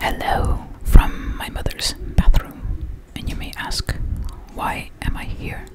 Hello from my mother's bathroom. And you may ask, why am I here?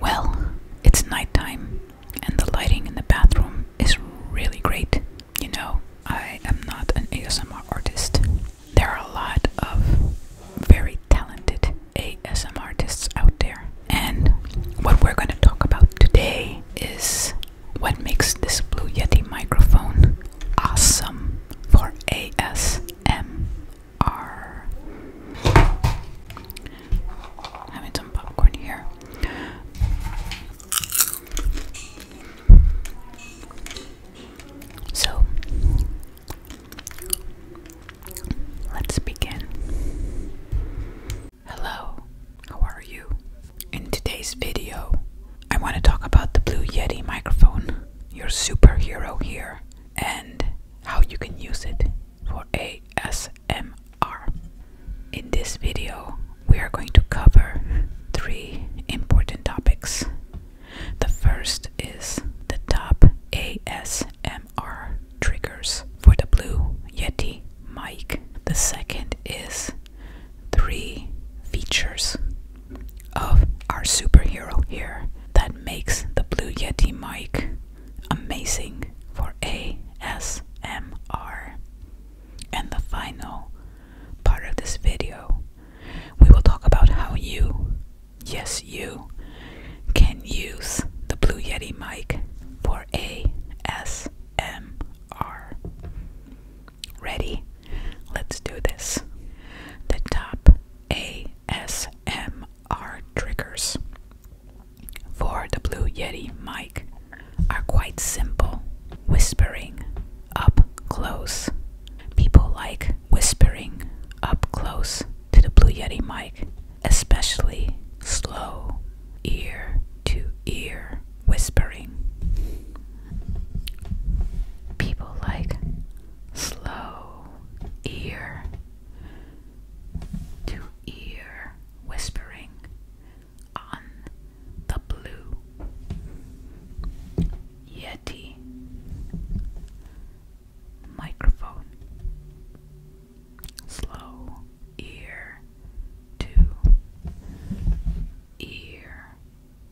Well, it's nighttime and the lighting in the bathroom is really great. You know, I am not an ASMR artist. There are a lot of very talented ASMR artists out there. And what we're going to talk about today is what makes this Blue Yeti microphone awesome for ASMR. Having some popcorn here. So let's begin. Hello, how are you? In today's video, I want to talk about the Blue Yeti microphone, your superhero here, and how you can use it for ASMR. In this video, we are going to cover three important topics. The first is the top ASMR triggers for the Blue Yeti mic. The second is three features of our superhero here that makes the Blue Yeti mic amazing for ASMR. And the final part of this video, we will talk about how you, yes, you, can use the Blue Yeti mic for ASMR. MR. Ready? Let's do this. The top ASMR triggers for the Blue Yeti mic are quite simple. Whispering up close. People like whispering up close to the Blue Yeti mic especially slow ear to ear whispering. People like slow ear to ear whispering on the blue Yeti microphone slow ear to ear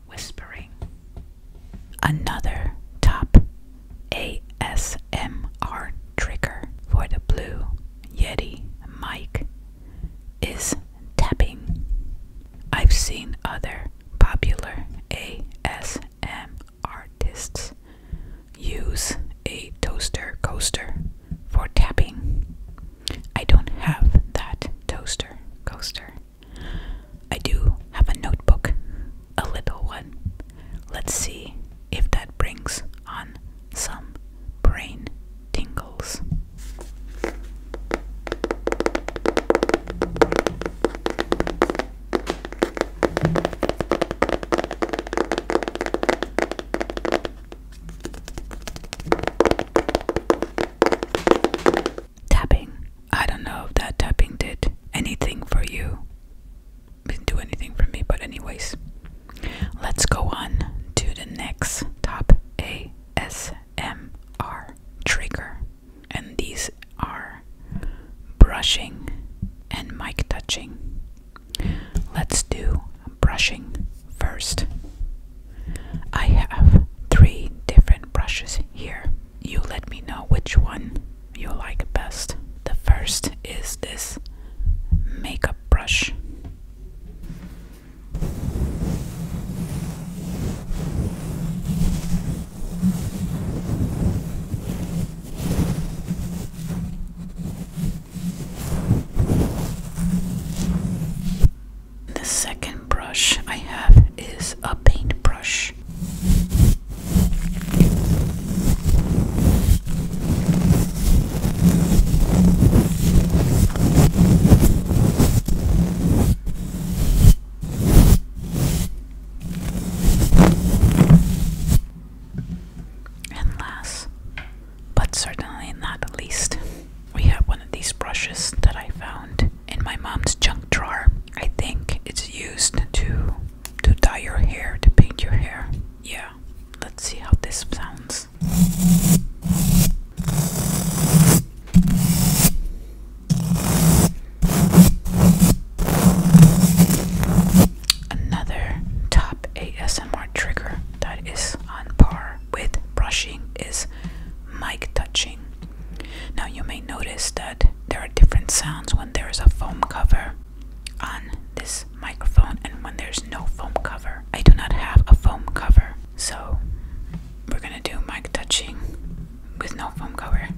whispering. Another top ASMR trigger for the Blue Yeti mic is tapping. I've seen other popular ASM artists use a toaster coaster for tapping. I don't have that toaster coaster. I do have a notebook, a little one. Let's see if that brings on some brain tingles. Tapping. I don't know if that tapping did anything for you. didn't do anything for me, but, anyways, let's go on to the next top ASMR trigger. And these are brushing and mic touching. Let's do brushing first. I have three different brushes here. You let me know which one you like best. The first is this makeup brush. The second brush I have is a paintbrush. And last but certainly not the least. We have one of these brushes that I found in my mom's junk drawer. I think it's used to to dye your hair, to paint your hair. Yeah, let's see how this sounds. Another top ASMR trigger that is on par with brushing is mic touching. Now, you may notice that there are different sounds when there is a foam cover on this microphone and when there's no foam cover. I do not have a foam cover, so we're gonna do mic touching with no foam cover.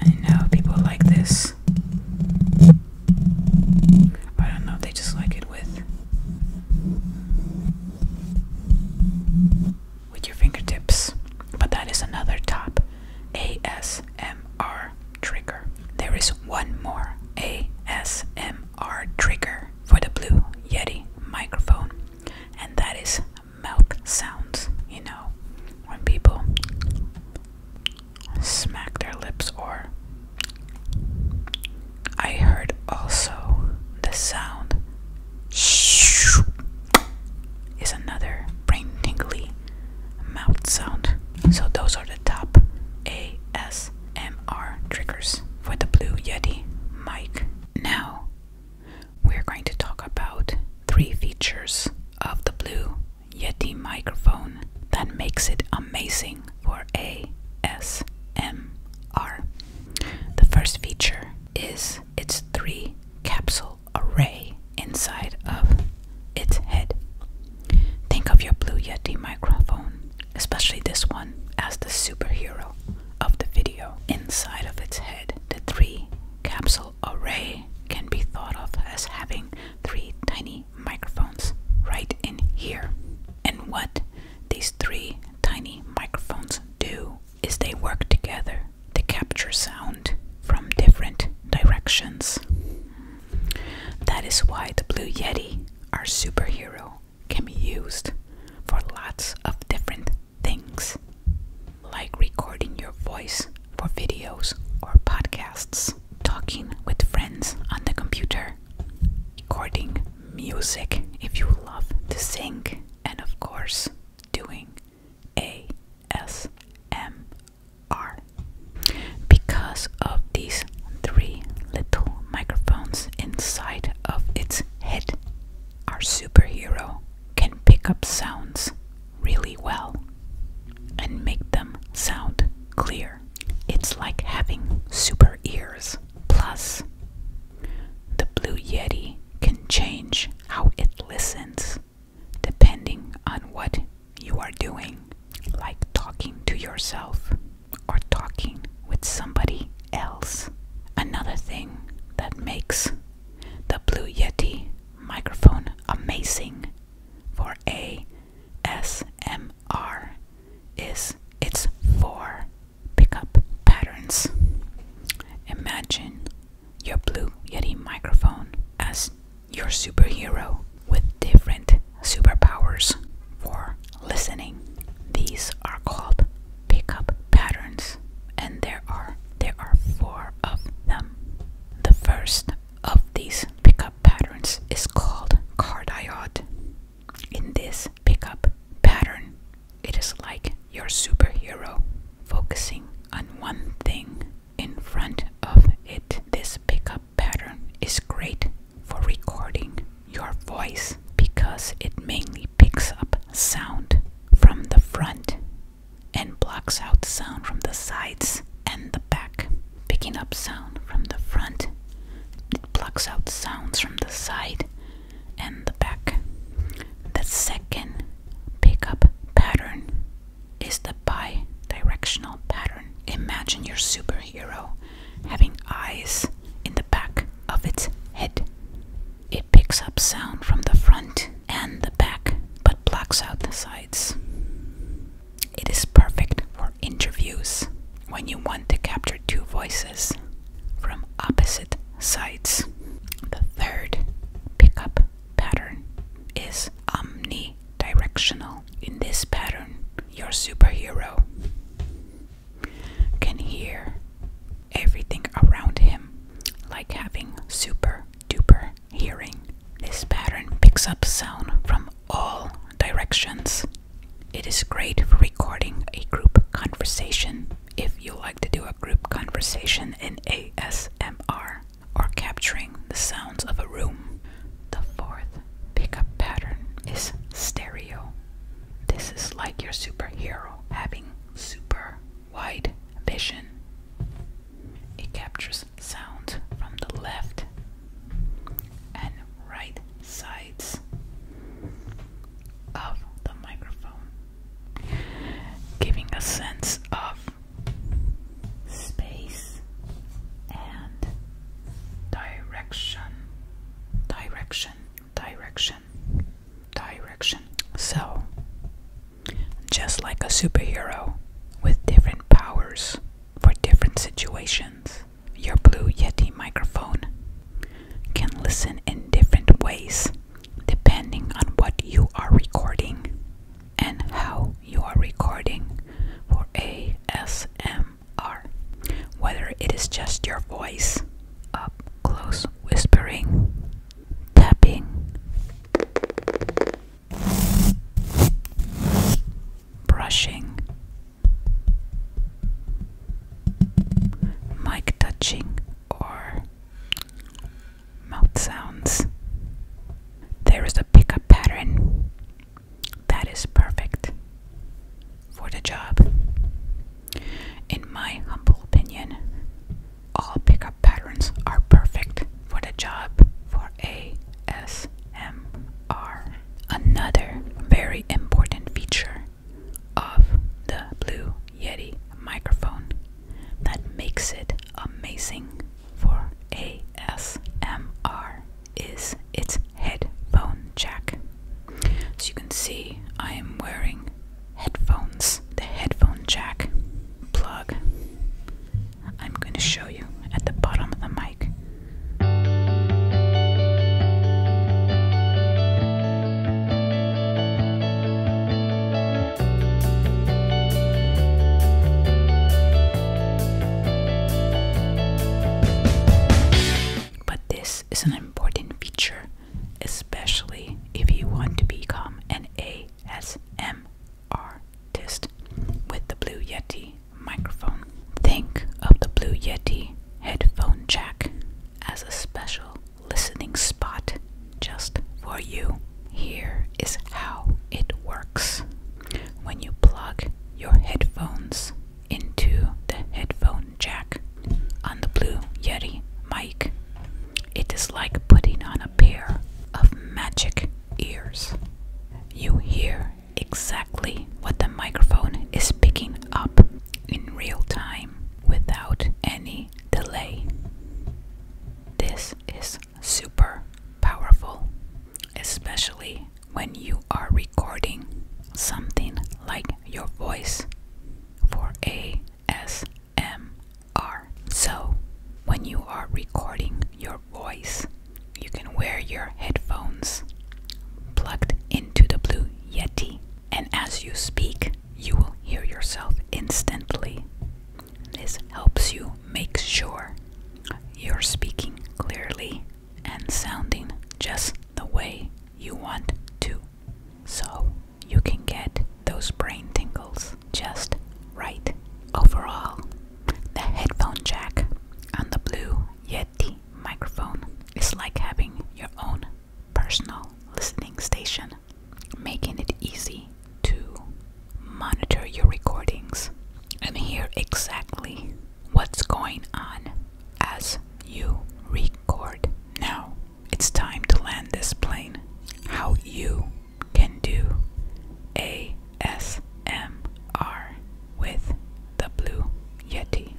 I know people like this. I don't know, they just like it with with your fingertips. But that is another top ASMR trigger. There is one more ASMR trigger for the Blue Yeti microphone, and that is mouth sounds. You know, when people smack their lips or. I heard also the sound is another brain tingly mouth sound. So those are the top ASMR triggers for the Blue Yeti mic. Now we're going to talk about three features of the Blue Yeti microphone that makes it amazing for ASMR. The first feature is its three capsule array inside of its head. Think of your Blue Yeti microphone, especially this one, as the superhero of the video. Inside of its head, the three capsule array can be thought of as having three tiny microphones right in here. And what these three tiny microphones do is they work together to capture sound from different directions. That is why the Blue Yeti, our superhero, can be used for lots of different things, like recording your voice for videos or podcasts, talking with friends on the computer, recording music if you love to sing, and of course, doing ASMR. Because of these three little microphones inside of its head, our superhero can pick up sounds really well and make them sound clear. It's like having super ears. Plus, the Blue Yeti can change how it listens depending on what you are doing, like talking to yourself or talking with somebody else. Another thing that makes the Blue Yeti microphone amazing for a SMR is its four pickup patterns. Imagine your Blue Yeti microphone as your superhero with different superpowers for listening. These are called pickup patterns and there are there are four of them. The first of these pickup patterns is called cardiod. In this pickup pattern, it is like your superhero focusing on one thing in front of it. This pickup pattern is great for recording your voice because it mainly picks up sound from the front and blocks out sound from the sides and the back, picking up sound from the front. It plucks out sounds from the side and the back. The second pickup pattern is the bi directional pattern. Imagine your superhero having eyes in the back of its head. It picks up sound from the front and the back but blocks out the sides. It is perfect for interviews when you want to capture two voices from opposite sides. The third pickup pattern is omnidirectional. In this pattern, your superhero can hear everything around him, like having super duper hearing. This pattern picks up sound from all directions. It is great for recording a group conversation if you like to do a group conversation in ASMR or capturing the sounds of a room. The fourth pickup pattern is stereo. This is like your superhero having super wide vision. It captures sound from the left and right sides of the microphone, giving a sense of space and direction, direction, direction, direction. So, just like a superhero with different powers for different situations. Your Blue Yeti microphone can listen in different ways depending on what you are recording and how you are recording for ASMR. Whether it is just your voice, up close whispering, tapping, brushing, mic touching, or mouth sounds. There is a pickup pattern that is perfect for the job. In my humble opinion, all pickup patterns are perfect for the job for ASMR. MR. Another very important feature of the Blue Yeti microphone that makes it amazing for ASMR is its headphone jack. As you can see, I am wearing headphones. The headphone jack plug I'm going to show you at the bottom of the mic. But this is an important feature, especially if you want to become an ASMR artist with the Blue Yeti microphone. Think of the Blue Yeti headphone jack as a special listening spot just for you. Here is how it works when you plug your headphones into the headphone jack on the Blue Yeti mic. It is like putting on a pair of magic ears you hear exactly what the microphone is picking up in real time without any delay. This is super powerful, especially when you are recording something like your voice for ASMR. So, when you are recording your voice, you can wear your headphones plugged into the Blue Yeti, and as you speak, you will hear yourself instantly. This helps you make sure you're speaking clearly and sounding just the way you want to. So you can get those brain tingles just right. Overall, the headphone jack on the Blue Yeti microphone is like having your own personal listening station, making it easy to monitor your recordings and hear exactly what's going on as you record. Now it's time to land this plane. How you can do ASMR with the Blue Yeti.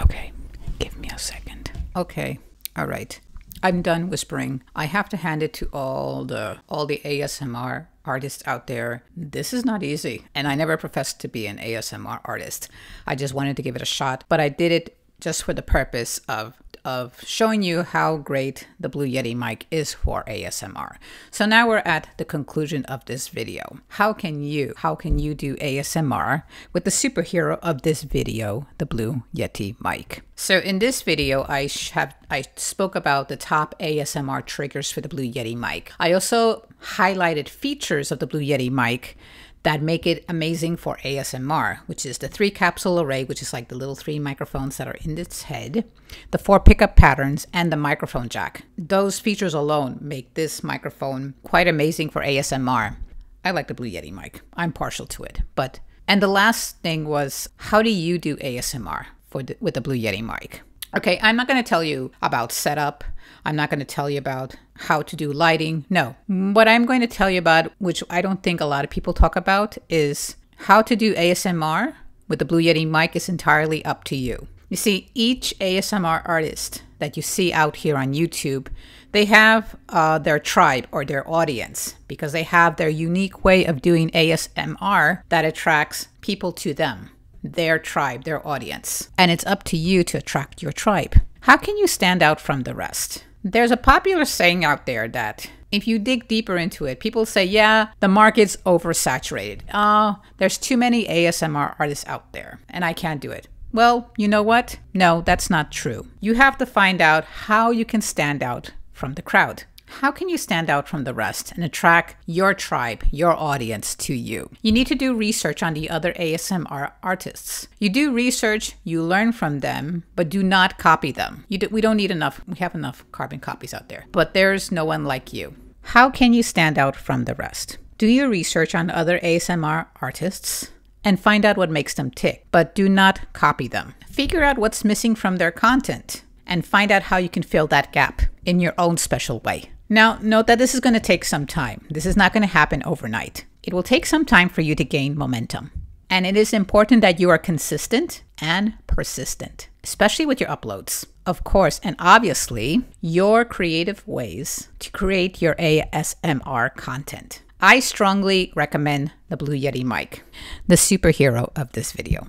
Okay, give me a second. Okay, all right. I'm done whispering. I have to hand it to all the all the ASMR artists out there. This is not easy, and I never professed to be an ASMR artist. I just wanted to give it a shot, but I did it just for the purpose of of showing you how great the Blue Yeti mic is for ASMR. So now we're at the conclusion of this video. How can you, how can you do ASMR with the superhero of this video, the Blue Yeti mic? So in this video, I have I spoke about the top ASMR triggers for the Blue Yeti mic. I also highlighted features of the Blue Yeti mic that make it amazing for ASMR, which is the three capsule array, which is like the little three microphones that are in its head, the four pickup patterns, and the microphone jack. Those features alone make this microphone quite amazing for ASMR. I like the Blue Yeti mic. I'm partial to it. But and the last thing was how do you do ASMR with the Blue Yeti mic? Okay, I'm not going to tell you about setup. I'm not going to tell you about how to do lighting. No. What I'm going to tell you about, which I don't think a lot of people talk about, is how to do ASMR with the Blue Yeti mic is entirely up to you. You see, each ASMR artist that you see out here on YouTube, they have uh, their tribe or their audience because they have their unique way of doing ASMR that attracts people to them, their tribe, their audience. And it's up to you to attract your tribe. How can you stand out from the rest? There's a popular saying out there that if you dig deeper into it, people say, yeah, the market's oversaturated. Oh, there's too many ASMR artists out there, and I can't do it. Well, you know what? No, that's not true. You have to find out how you can stand out from the crowd. How can you stand out from the rest and attract your tribe, your audience to you? You need to do research on the other ASMR artists. You do research, you learn from them, but do not copy them. we don't need enough. We have enough carbon copies out there, but there's no one like you. How can you stand out from the rest? Do your research on other ASMR artists and find out what makes them tick, but do not copy them. Figure out what's missing from their content and find out how you can fill that gap in your own special way. Now, note that this is going to take some time. This is not going to happen overnight. It will take some time for you to gain momentum. And it is important that you are consistent and persistent especially with your uploads. Of course, and obviously, your creative ways to create your ASMR content. I strongly recommend the Blue Yeti mic, the superhero of this video.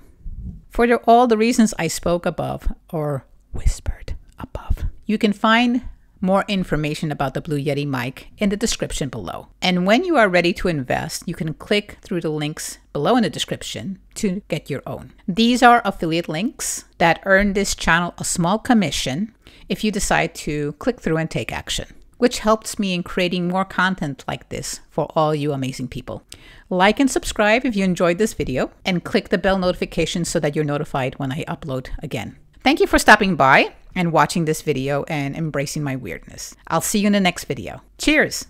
For all the reasons I spoke above or whispered above, you can find more information about the Blue Yeti mic in the description below. And when you are ready to invest, you can click through the links below in the description to get your own. These are affiliate links that earn this channel a small commission if you decide to click through and take action, which helps me in creating more content like this for all you amazing people. Like and subscribe if you enjoyed this video and click the bell notification so that you're notified when I upload again. Thank you for stopping by and watching this video and embracing my weirdness. I'll see you in the next video. Cheers!